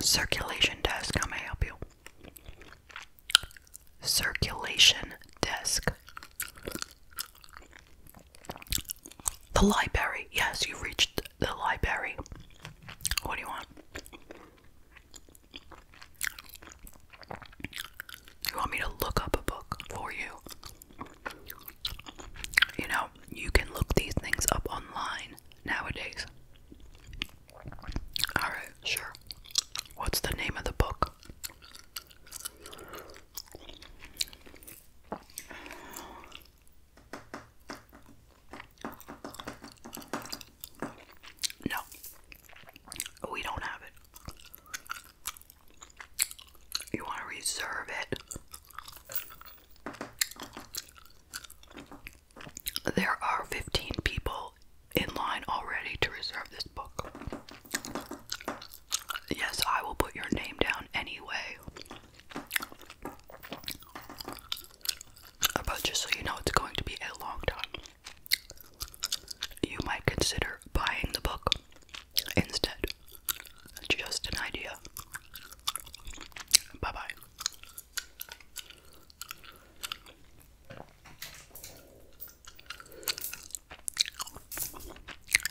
Circulation desk, how may I help you? Circulation desk. The library, yes, you reached the library. What do you want? You want me to look up a book for you? You know, you can look these things up online nowadays. Alright, sure. What's the name of the book? No, we don't have it. You want to reserve it? There are 15 people in line already to reserve this book. Yes, I will put your name down anyway. But just so you know, it's going to be a long time. You might consider buying the book instead. Just an idea. Bye bye.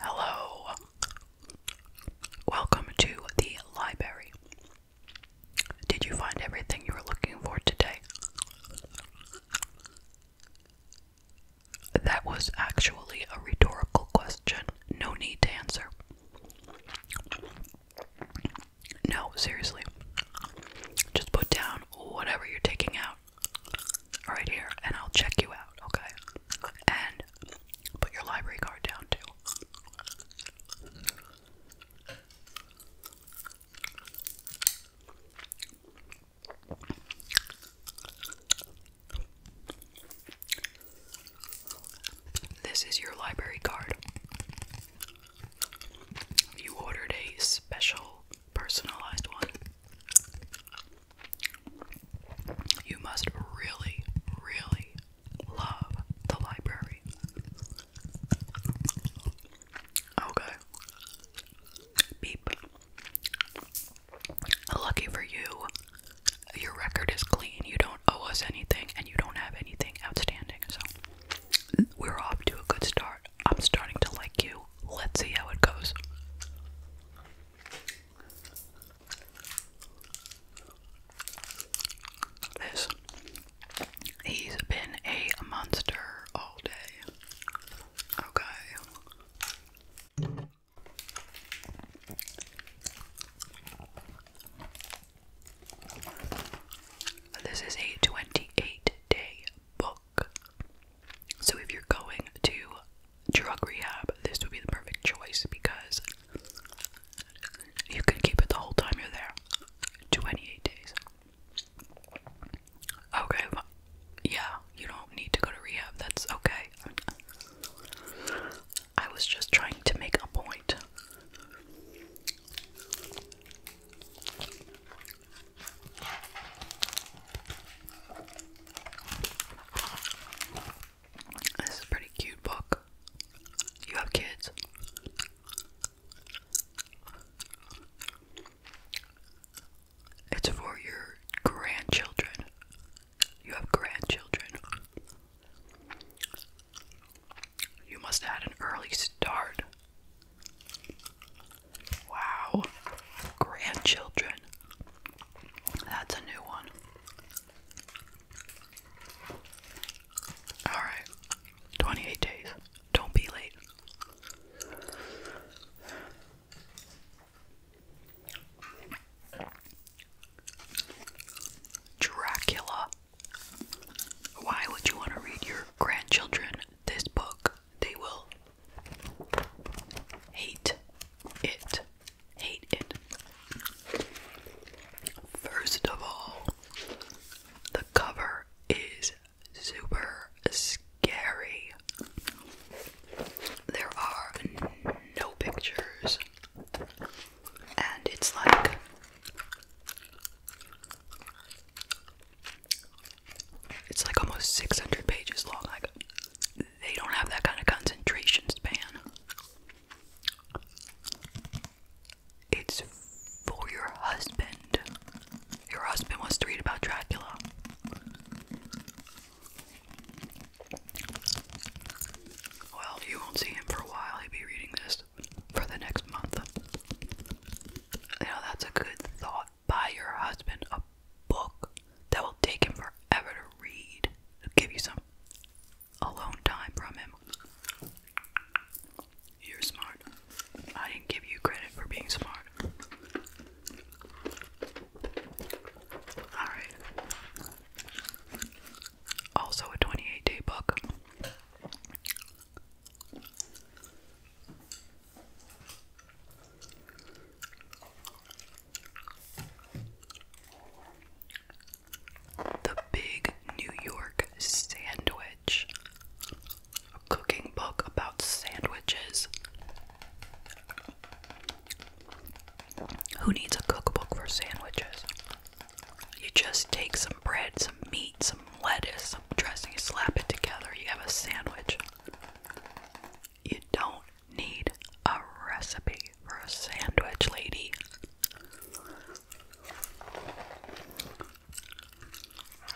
Hello. Welcome to the library. Did you find everything you were looking for today? That was actually a rhetorical question. No need to answer. No, seriously. Just put down whatever you're taking out right here, and I'll check you out, okay? And put your library card down too. This is your library card. You ordered a special personalized one. You must really, really love the library. Okay. Beep. Lucky for you, your record is clean. You don't owe us anything, and you don't have anything outstanding. So we're off to a good start. I'm starting to like you. Let's see how it goes. This. He's been a monster all day. Okay. This is a 28 day book. So if you're going to drug rehab, this would be the perfect choice because you can keep it the whole time you're there. 28 days. Okay, yeah, you don't need to go to rehab. That's okay. I was just trying to make a point. This is a pretty cute book. You have kids. It's for your grandchildren. You have grandchildren. You must have an early start. Wow. Grandchildren. That's a new one. Alright. 28 days. Don't be late. Dracula. Why would you want to read your grandchildren this book? They will hate it. Hate it. First of all, the cover is super scary. There are no pictures and it's like it's like almost 600 pages long like they don't have that kind of concentration span it's for your husband your husband wants to read about dracula well, you won't see him for a while. He'll be reading this for the next month. You know, that's a good thought. Buy your husband a book that will take him forever to read. give you some alone time from him. You're smart. I didn't give you credit for being smart. Alright also a 28 day book. The Big New York Sandwich, a cooking book about sandwiches. Who needs a cookbook for sandwiches? You just take some bread, some meat, some lettuce, some dressing, slap it together, you have a sandwich. You don't need a recipe for a sandwich, lady.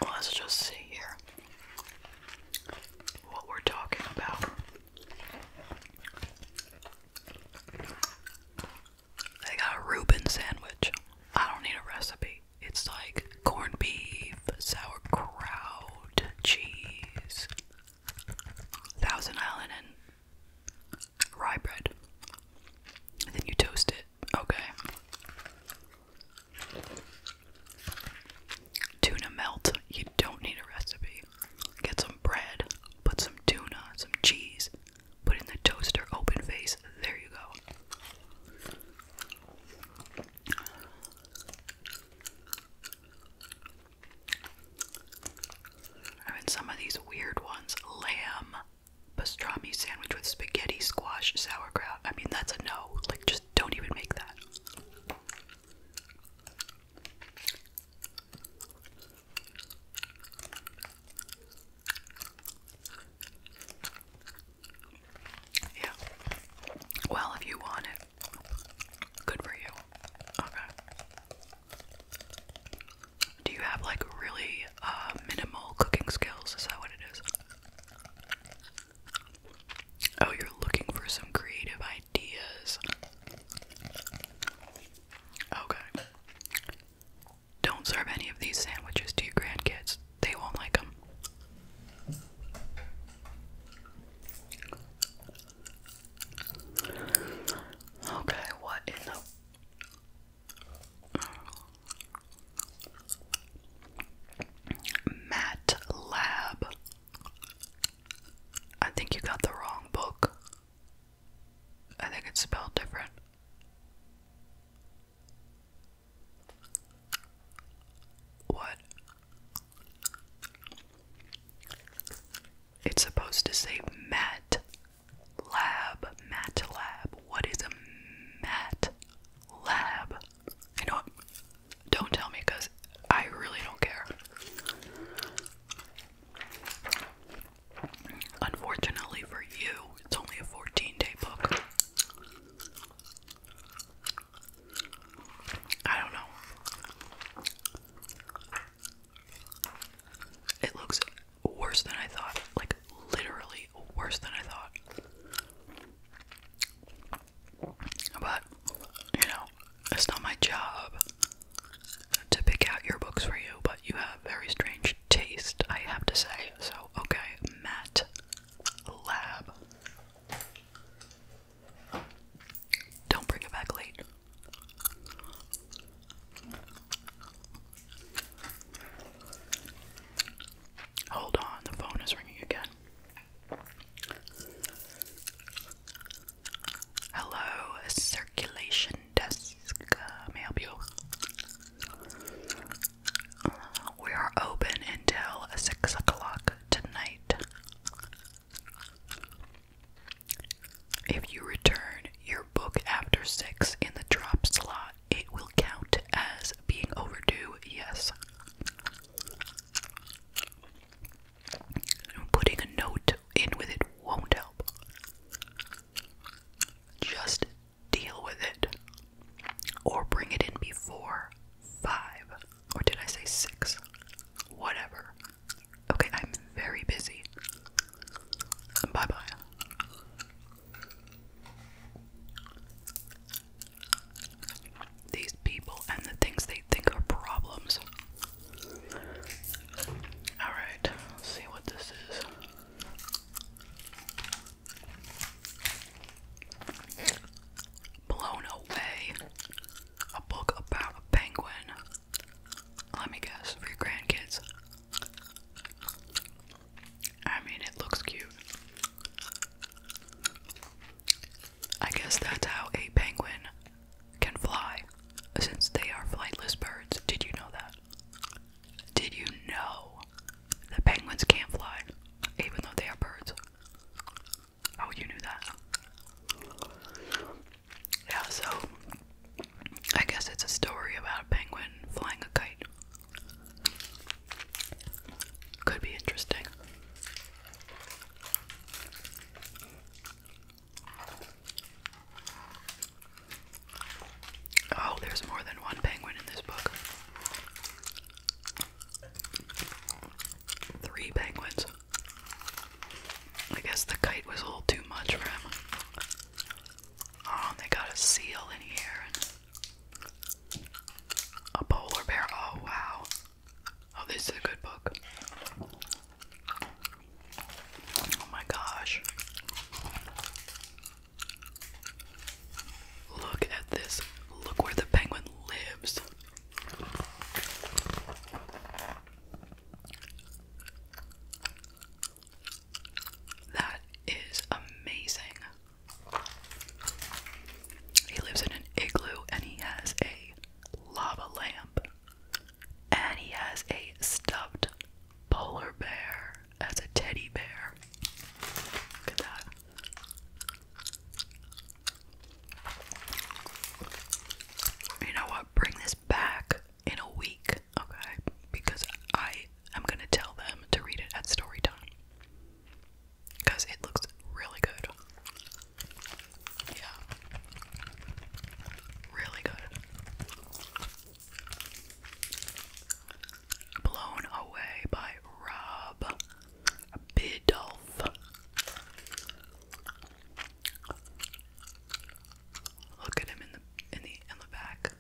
Let's just see here what we're talking about. They got a Reuben sandwich. I don't need a recipe. It's like corned beef, sauerkraut, cheese, Thousand Island, and rye bread. And then you toast it. Okay. Tuna melt. You don't need a recipe get some bread, put some tuna, some cheese, put in the toaster open face. There you go. I mean, some of these weird ones lamb pastrami sandwich with spaghetti, squash, sauerkraut. I mean, that's a no. Like, just don't even make that. Yeah. Well, if you want it, good for you. Okay. Do you have like really uh, minimal cooking skills? Is that what it is? Oh, you're looking for some creative ideas. Okay. Don't serve any of these sandwiches to your grandkids. They won't like them. Okay, what in the Matt I think you got the wrong book. I think it's spelled different. What? It's supposed to say mat lab, mat lab. What is a mat lab? know don't tell me because I really don't care. Unfortunately for you, it's only a 14 day book. I don't know. It looks worse than I thought. Like, literally worse than I thought. But, you know, it's not my job to pick out your books for you, but you have very strange taste, I have to say. So, okay, Matt Lab. Don't bring it back late. Hold on, the phone is ringing again. Hello, circulation desk. may I help you? we are open until six o'clock tonight. If you return your book after six in the drop slot, it will count as being overdue. Yes. Putting a note in with it won't help. Just deal with it. Or bring it in before five. Or did I say six? Whatever. Okay, I'm very busy. Bye bye these people and the things they think are problems. Alright, see what this is. Blown Away. A book about a penguin. Let me guess, for grandkids. I mean, it looks cute. I guess that's how a penguin can fly, since they are flightless birds. Did you know that? Did you know that penguins can't fly, even though they are birds? Oh, you knew that. Yeah, so I guess it's a story about a penguin flying a kite. Could be interesting. Oh, there's more than one penguin in this book. Three penguins. I guess the kite was a little too much for him. Oh, they got a seal in here a polar bear. Oh, wow. Oh, this is a good book. Oh my gosh. Look at this. Look where the penguin lives. That is amazing. He lives in an igloo and he has a lava lamp, and he has a stuffed polar bear as a teddy bear. Look at that. You know what? Bring this back in a week, okay? Because I am gonna tell them to read it at story time because it looks really good. Yeah. Really good. Blown Away by Rob Bidulph. Look at him in the in the in the back.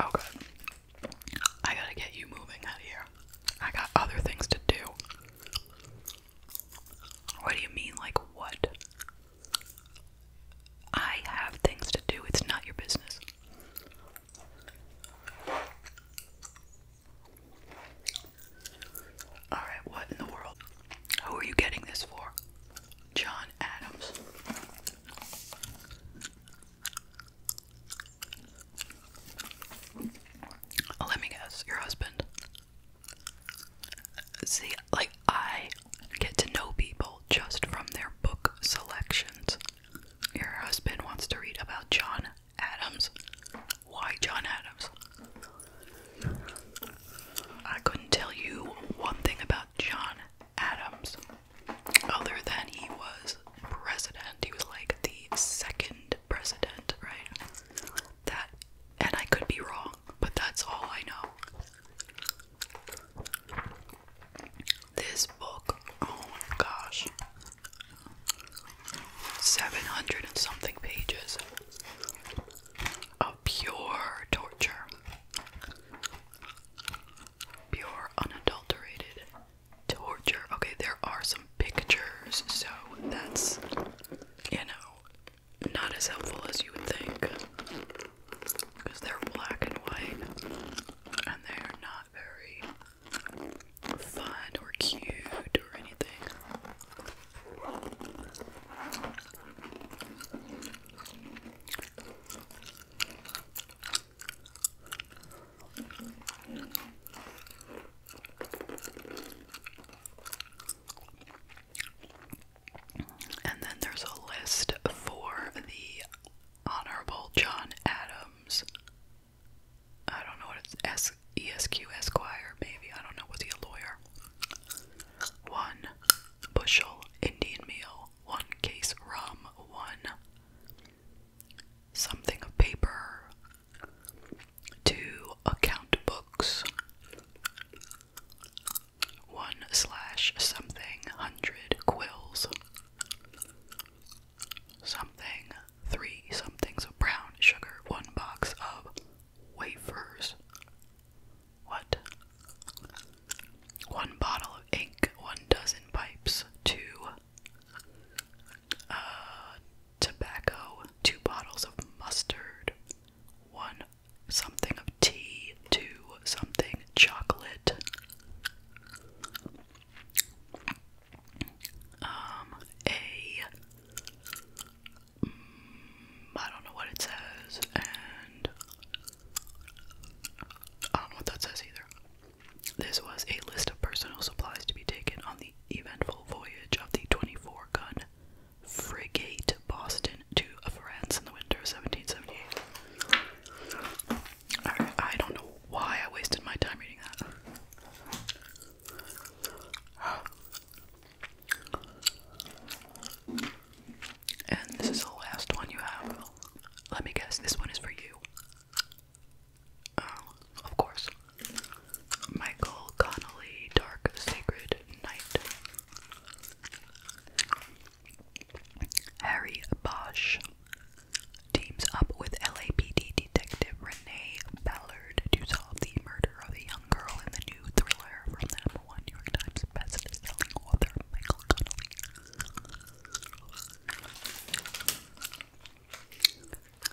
Oh god. I gotta get you moving out here. I got other things to do. What do you mean, like what? I have things to do, it's not your business. Alright, what in the world? Who are you getting this for? John Adams. Let me guess, your husband. See, like, I get to know people just from their book selections. Your husband wants to read about John Adams. Why John Adams? I couldn't tell you one thing about John Adams other than he was president. He was like the second president, right? That, and I could be wrong, but that's all I know. This book, oh my gosh, 700 and something pages of pure torture pure, unadulterated torture. Okay, there are some pictures, so that's, you know, not as helpful as you would think. Because they're black and white, and they are not very fun or cute or anything. And then there's a list for the Honorable John Adams. I don't know what it's S E S Q squire. maybe. I don't know. Was he a lawyer? One bushel Indian meal, one case rum, one something of paper two account books one slash something hundred quills something three somethings of brown sugar one box of wafers what one bottle of ink one dozen pipes two uh, tobacco, two bottles of mustard, one something of tea, two something chocolate. Um, a. Mm, don't know what it says, and I don't know what that says either. This was a list of personal supplies to be taken on the eventful voyage of the 24 gun frigate Boston to France in the winter of 1778. I, don't know why I wasted my time reading that. And this is the last one you have. Let me guess, this one is for you. Oh, of course. Michael Connolly, Dark Sacred Night. Harry Bosch teams up with LAPD detective Renee Ballard to solve the murder of a young girl in the new thriller from the number one New York Times bestselling author Michael Connolly.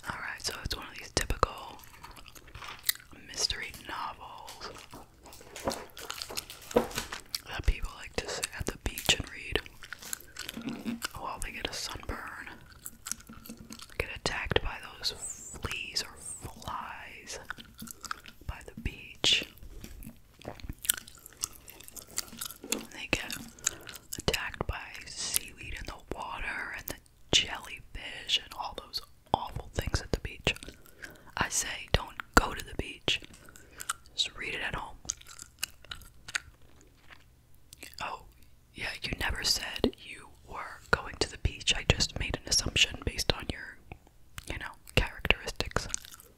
Alright, so it's one of these typical mystery novels that people like to sit at the beach and read while they get a sunburn, get attacked by those fleas or flies by the beach. They get attacked by seaweed in the water and the jellyfish and all those awful things at the beach. I say don't go to the beach. Just read it at home. Oh, yeah, you never said you were going to the beach. I just made an assumption based on your, you know, characteristics. Okay,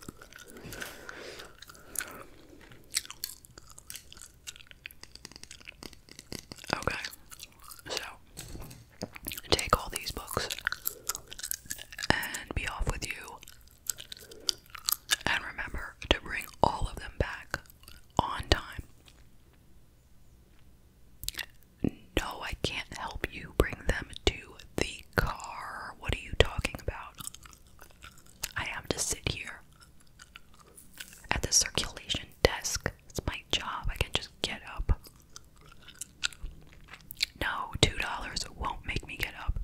so take all these books and be off with you. And remember to bring all of them back on time. No, I can't help you bring them to the car. What are you talking about? I have to sit here at the circulation desk. It's my job. I can just get up. No, $2 won't make me get up.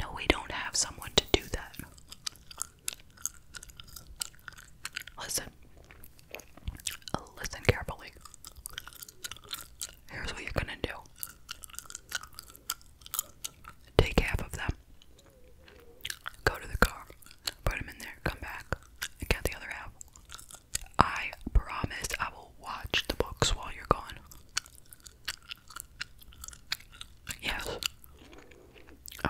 No, we don't have someone to do that. Listen. Listen carefully. Here's what you're gonna do take half of them, go to the car, put them in there, come back, get the other half. I promised I will watch the books while you're gone. Yes. Okay,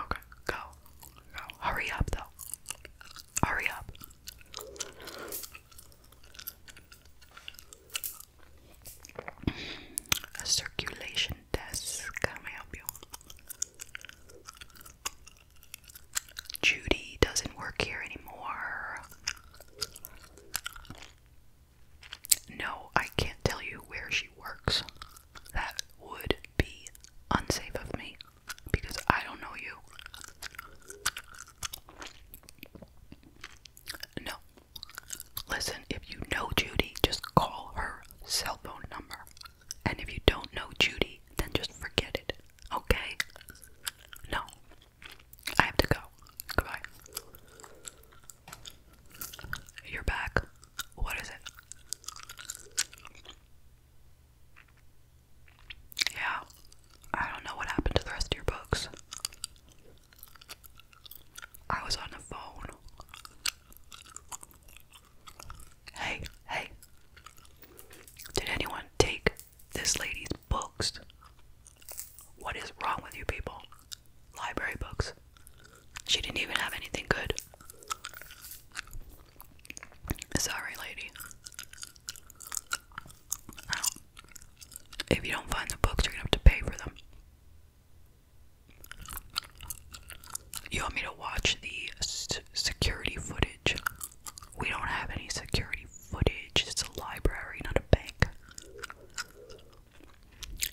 go. Go. Hurry up, though. Hurry up. A circulation desk. Can help you? Judy doesn't work here anymore. No, I can't tell you where she works. That would be unsafe of me because I don't know you. No. Listen, if you know Judy, just call her cell phone number. And if you don't know Judy, then just forget it. Okay? No. I have to go. Goodbye. You're back. What is it? Yeah, I don't know what happened to the rest of your books. I was on the phone. Hey, hey. Did anyone take this lady's books? What is wrong with you people? Library books. She didn't even have anything good. Sorry, lady. If you don't find the books, you're gonna have to pay for them. You want me to watch the security footage? We don't have any security footage. It's a library, not a bank.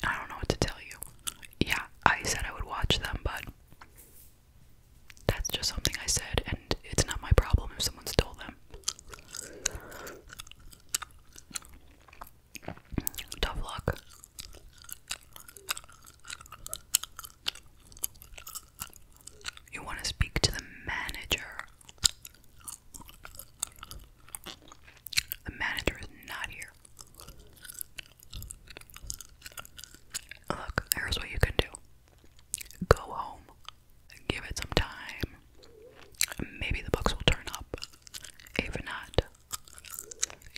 I don't know what to tell you. Yeah, I said I would watch them, but that's just something I said, and it's not my problem if someone stole them. Tough luck. You want to speak to the manager. The manager is not here. Look, here's what you can do go home give it some time. Maybe the books will turn up. If not,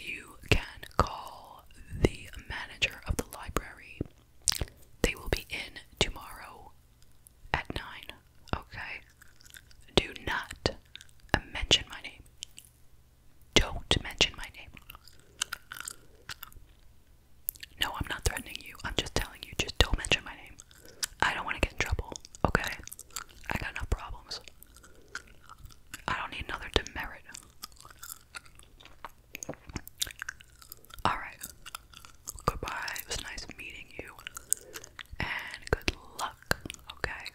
you can call the manager of the library. They will be in tomorrow at 9. Okay? Do not mention my name. Don't mention my name. No, I'm not threatening you. I'm just telling you, just don't mention my name. I don't want to get in trouble, okay? I got enough problems. I don't need another demerit. Alright. Goodbye. It was nice meeting you. And good luck, okay?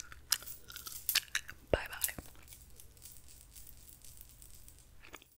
Bye bye.